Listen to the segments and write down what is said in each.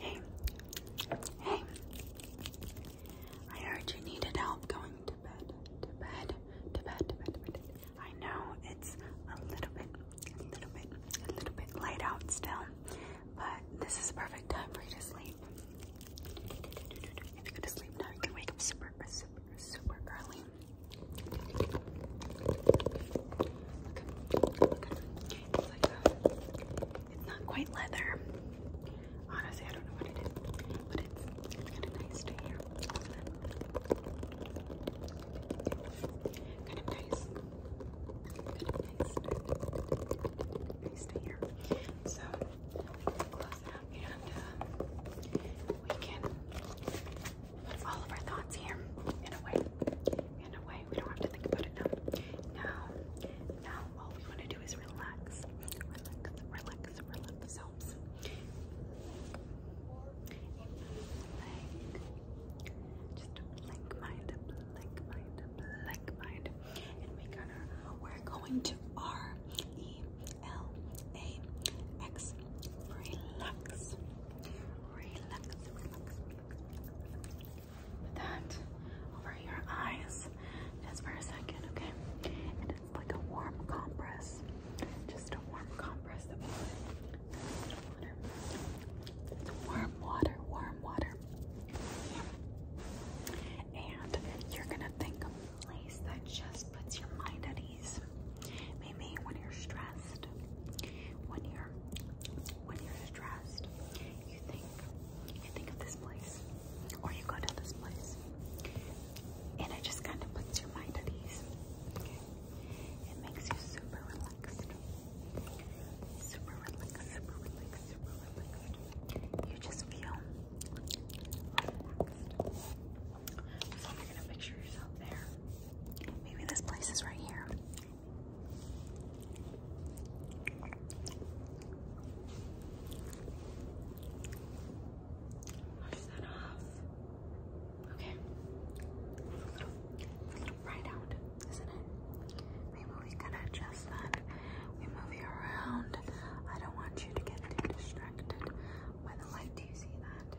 Hey, hey, I heard you needed help going to bed, to bed, to bed, to bed, to bed. I know it's a little bit, a little bit, a little bit light out still, but this is the perfect time for you to sleep. If you go to sleep now, you can wake up super, super, super early it's not quite leather. Honestly, I don't know what it is, but it's kind of nice to hear. Kind of nice. Kind of nice. Nice to hear. So close it up and uh, we can put all of our thoughts here in a way in a way. We don't have to think about it now. Now, now all we want to do is relax, relax, relax, ourselves. Like, just blank mind, blank mind, blank mind. And we're gonna, we're going to R Relax, relax, Put that over your eyes just for a second, okay? And it's like a warm compress. Just a warm compress It's warm water, warm water. And you're gonna think of a place that just puts your mind at ease. Maybe when you're stressed, when you're when you're stressed, you think you think of this place, or you go to this place, and it just kind of puts your mind at ease. Okay, it makes you super relaxed, super relaxed, super relaxed, super relaxed. You just feel relaxed. So you're gonna picture yourself there. Maybe this place is right here. Wash that off. Okay. a little, bright out, isn't it? Maybe we can adjust that. We move you around. I don't want you to get too distracted by the light. Do you see that?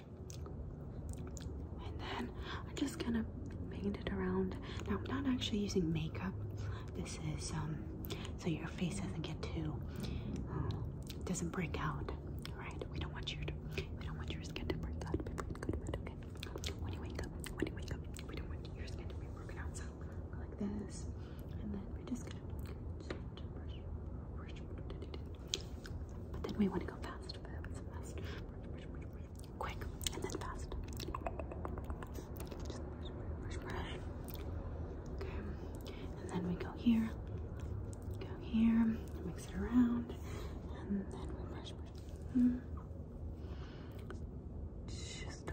and then I'm just gonna paint it around. Now I'm not actually using makeup. This is so your face doesn't get too, doesn't break out, All right, We don't want your, we don't want your skin to break out When you wake up, when you wake up, we don't want your skin to be broken out. So like this, and then we're just gonna just brush, brush, but then we want to go fast, fast, fast, quick, and then fast. Okay, and then we go here, go here, and mix it around, and then we brush, brush. Mm. Just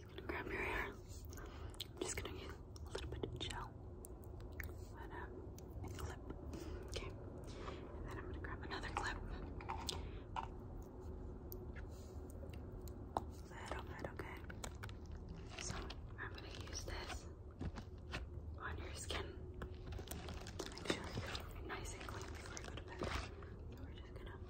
I'm gonna grab your hair. I'm just gonna use a little bit of gel uh, and, clip. Okay, and then I'm gonna grab another clip. Little bit, okay. So I'm gonna use this on your skin. Make sure you nice and clean before I go to bed. So we're just gonna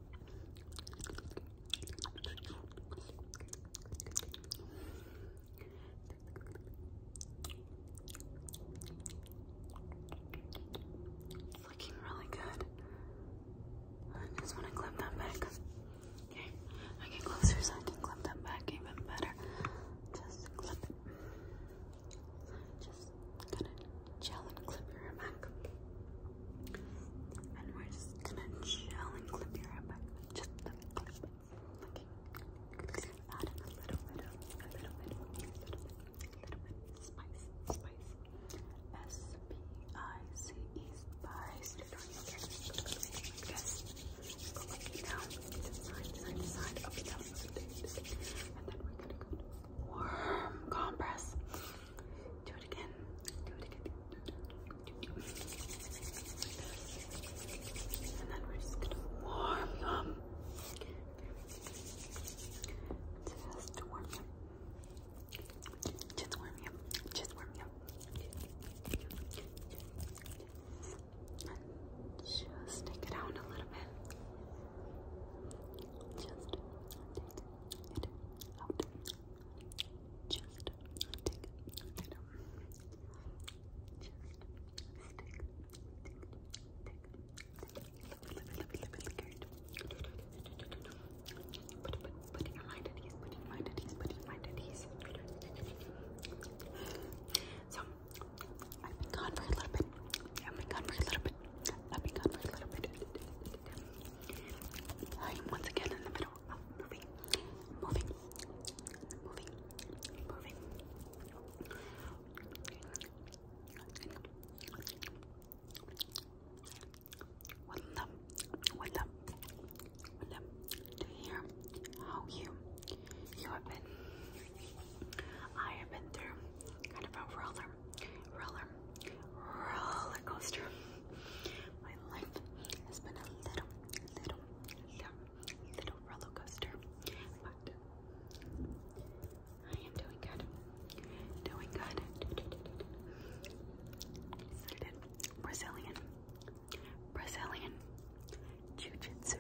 It's looking really good. I just want to clip that back. Okay, I get closer so I can clip that back even better. Just clip it. Just gonna gel and clip your back. And we're just gonna chill and clip your hair back. Just clip, clip. Okay. a little bit of, a little bit, a little bit, a Spice, spice. S P I C E spice. Yes. Go side, side, side, up, down, and then we're gonna go warm compress. Do it again. Do it again. And then we're just gonna warm them. Just warm them. Just warm them. Just warm them. just take it out a little bit. Just take it out. Just stick stick stick Put, put, put your mind at ease, put your mind at ease, put your mind at ease. So, I've been gone for a little bit. I've been gone for a little bit. I've been gone for a little bit. I am once again in the middle of ah, moving, moving, moving, moving. What them, what them, what them to how you you have been I have been through kind of a roller roller roller coaster. My life has been a little, little, little, little roller coaster, but I am doing good. Doing good. Brazilian, Brazilian jiu-jitsu.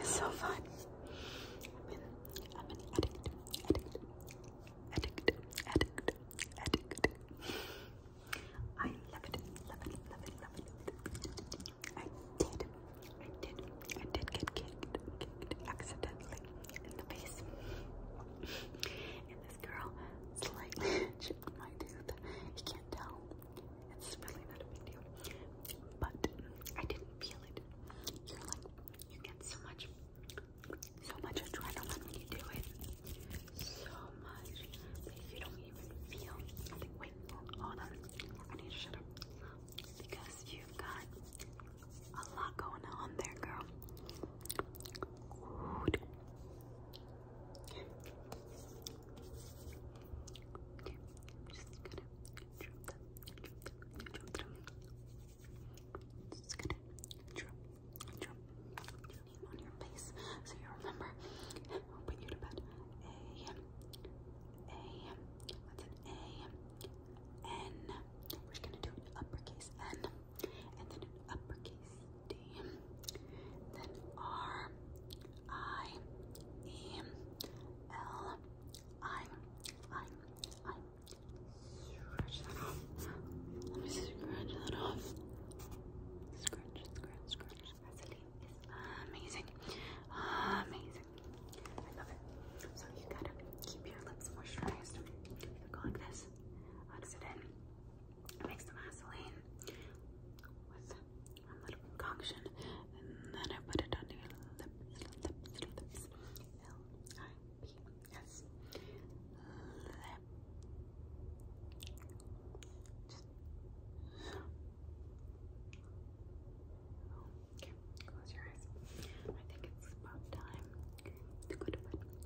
It's so fun. I'm an, addict, addict, addict, addict, addict. I love it, love it, love it, love it. I did, I did, I did get kicked, kicked accidentally in the face. And this girl slightly chipped my tooth. You can't tell. It's really not a big deal. But I didn't feel it. you get so much, so much adrenaline when you do it. So much you don't even feel. I wait, hold on. I need to shut up. Because you've got a lot going on there, girl. Okay, just gonna drop them, drop them, drop them. Just gonna drop, drop, name on your face so you remember. I'll put you to bed. A, N. We're just gonna do an uppercase N and then an uppercase D. Then R I E L I I I. Scratch that off. Let me scratch that off. Scratch, scratch, scratch. Vaseline amazing. Amazing. I love it. So you gotta keep your lips moisturized. You go like this. How it in? mix the Vaseline with one little concoction, and then I put it under your lips, lips, lips. Okay, close your eyes. I think it's about time to go to bed